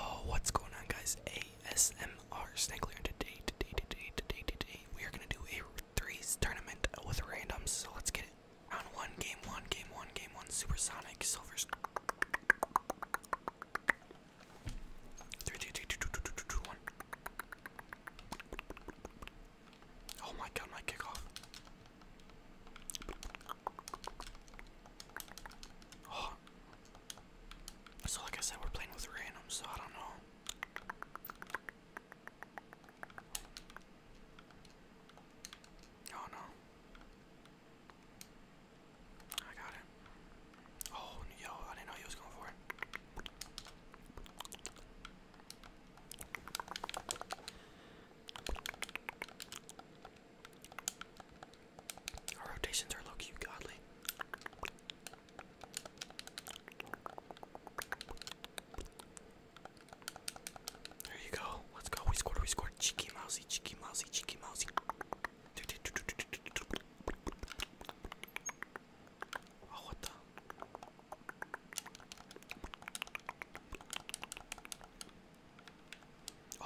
Oh, what's going on, guys? ASMR Snackler. Today, today, today, today, today, we are gonna do a threes tournament with randoms. So let's get it. Round one, game one, game one, game one. Supersonic Silvers. Three, two, two, two, two, two, two, two, one. Oh my god, my kickoff. So like I said, we're playing with random, so I don't know. Oh no. I got it. Oh, yo, I didn't know he was going for it. Our rotations are low key godly. There you go. Let's go. We scored. We scored. Cheeky mousy. Cheeky mousy. Cheeky mousy. Oh, what the?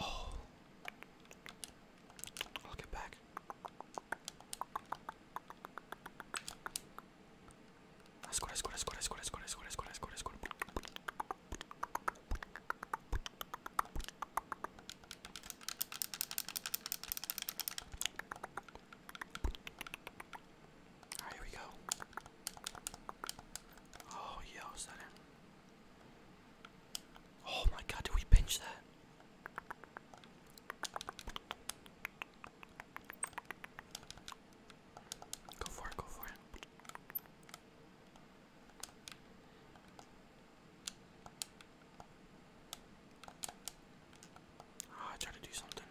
Oh. I'll get back. I scored, I scored, I scored, I scored, I scored, I scored, I scored, I scored, I scored. Alright, here we go. Oh, yeah, is that it? Oh my god, did we pinch that? Go for it, go for it. Ah, I tried to do something.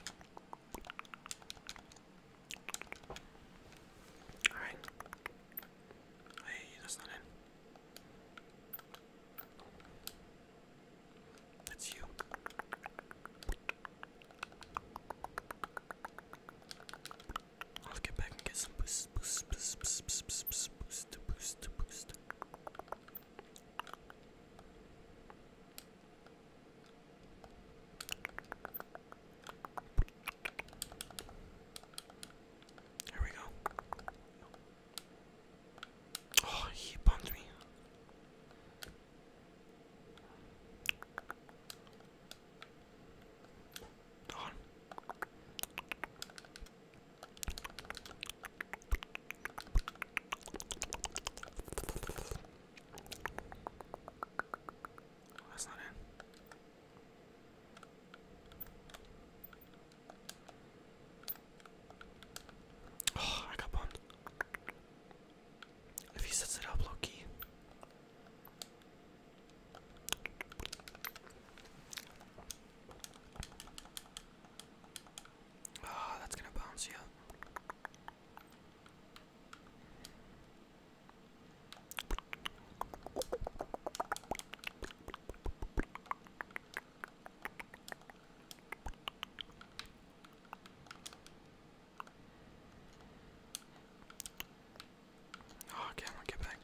Alright. Hey, that's not it. That's you. I'll get back and get some boost, boost, boost, boost, boost, boost, boost, boost, boost. Here we go. Oh, he bumped me. Oh that's not oh, I got bumped. If he sets it up low key. Ah, that's gonna bounce Yeah. Oh, camera, get back.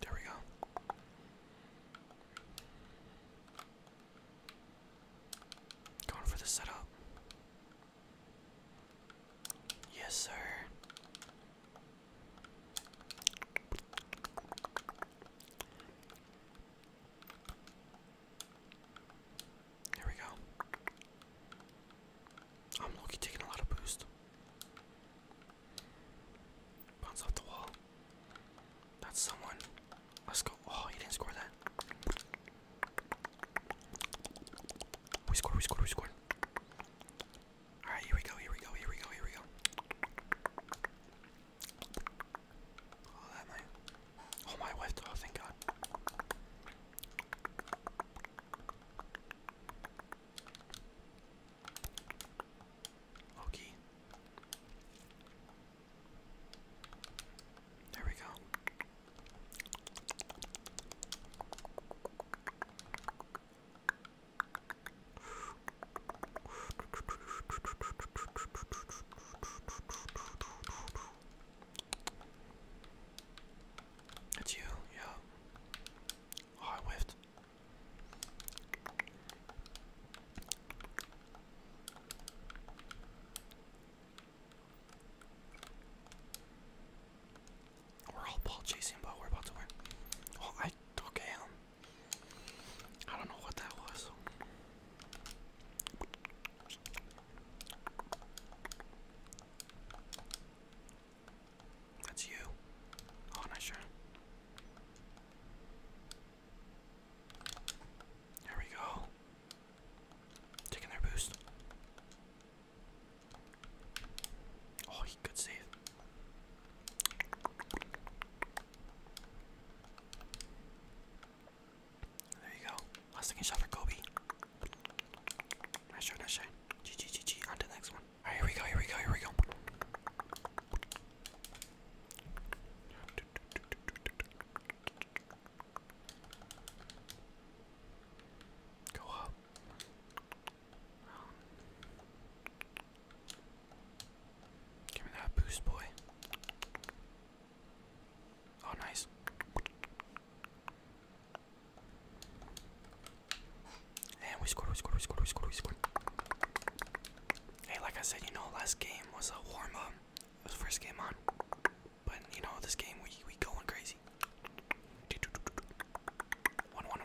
There we go. Going for the setup. Yes, sir. There we go. I'm lucky taking a lot of boost. Bounce off the wall. That's someone. Let's go. Oh, he didn't score that. We scored, we scored, we scored. Alright, here we go, here we go, here we go, here we go. Oh, that might. Oh, my wife, oh, thank God. Okay. There we go. It's you, yeah. Oh, I we're all ball chasing, but we're about to win. Well, oh, I okay. Um, I don't know what that was. That's you. Oh, not sure. There we go. Taking their boost. Oh, he could save. There you go. Last second shot for Kobe. Nice shot, nice shot. GG, GG. On to the next one. Alright, here we go, here we go, here we go. Go up. Give me that boost, boy. Oh, nice. And we score, we score, we score, we scored, we scored. Hey, like I said, you know, last game was a warm up um, was the first game on, but you know this game we we going crazy. One one.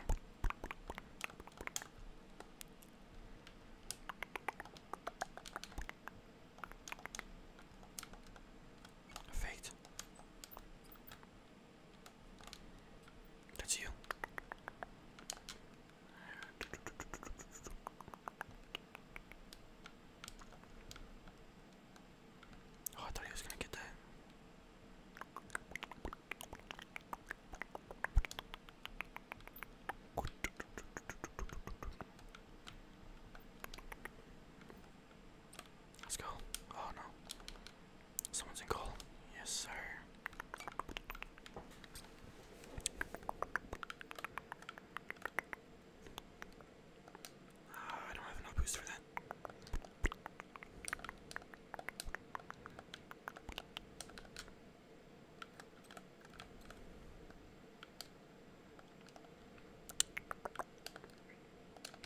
Fate. That's you. Oh, I thought he was gonna get that. Let's go. Oh no. Someone's in goal. Yes, sir. Ah, I don't have enough boost for that.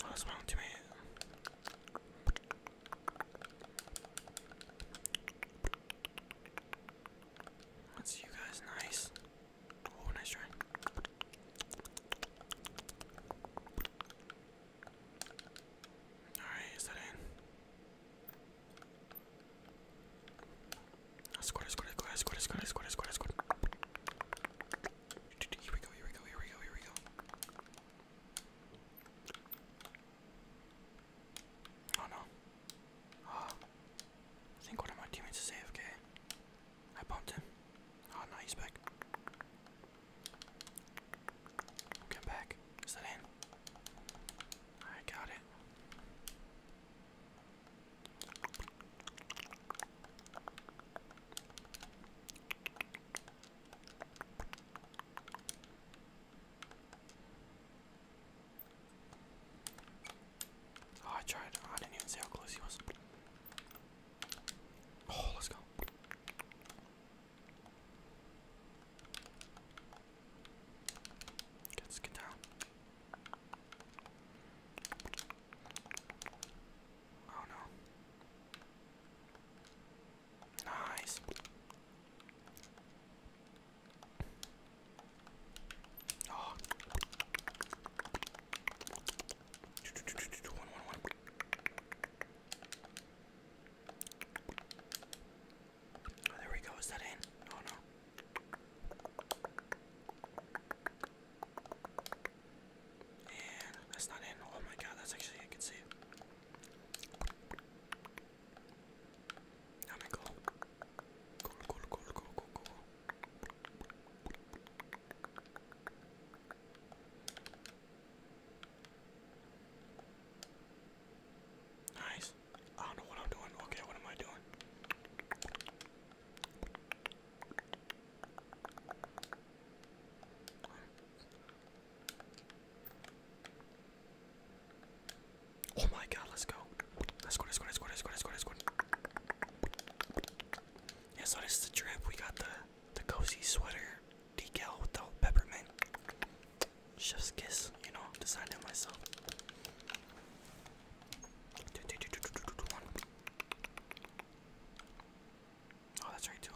Oh, wrong oh to that's you guys, nice. Oh, nice try. Alright, is that in? I scored, I scored, I scored, I scored, Here we go, here we go, here we go, here we go. Oh no. Oh, I think one of my teammates is AFK. I bumped him. Oh no, he's back. Come back. Is that in? I got it. Oh, I tried. I didn't even see how close he was. Oh, let's go. Let's get down. Oh no. Nice. Ah. Oh. there we go. Is that in? Oh no. And that's not in. Oh my god, that's actually I can see Nice. I don't know what I'm doing. Okay, what am I doing? Oh my god, let's go. Let's go, let's go, let's go, let's go, let's go, let's go. Yeah, so this is the drip. We got the the cozy sweater decal with the peppermint. Chef's kiss, you know, designed it myself. Oh, that's right too.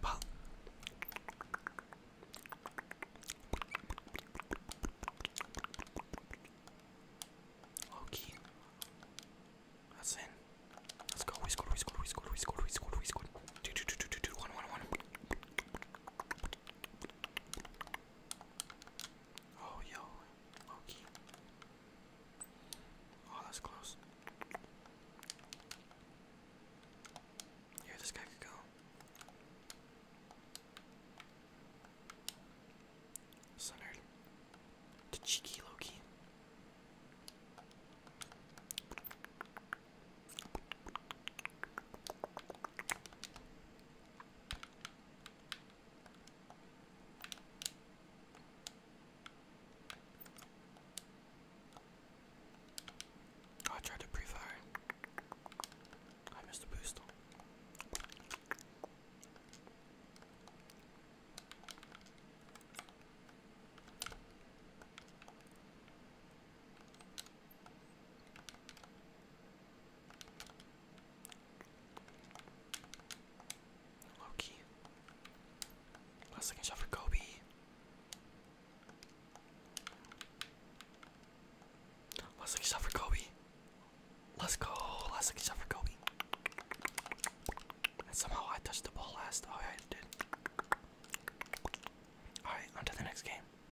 Pop. Okay. That's in. Let's go. We scored, we scored, we scored, we scored, we scored, we scored. Two, two, two, two, two, two, one, one, one. Oh, yo, Loki. Oh, that's close. Yeah, this guy could go. Centered. cheeky Loki. Oh, I tried to pre-fire. I missed the boost. Loki. Last second shot for Kobe. Last second shot for Kobe. Let's go. Last second shot for Kobe. And somehow I touched the ball last. Oh, yeah, I did. Alright, on to the next game.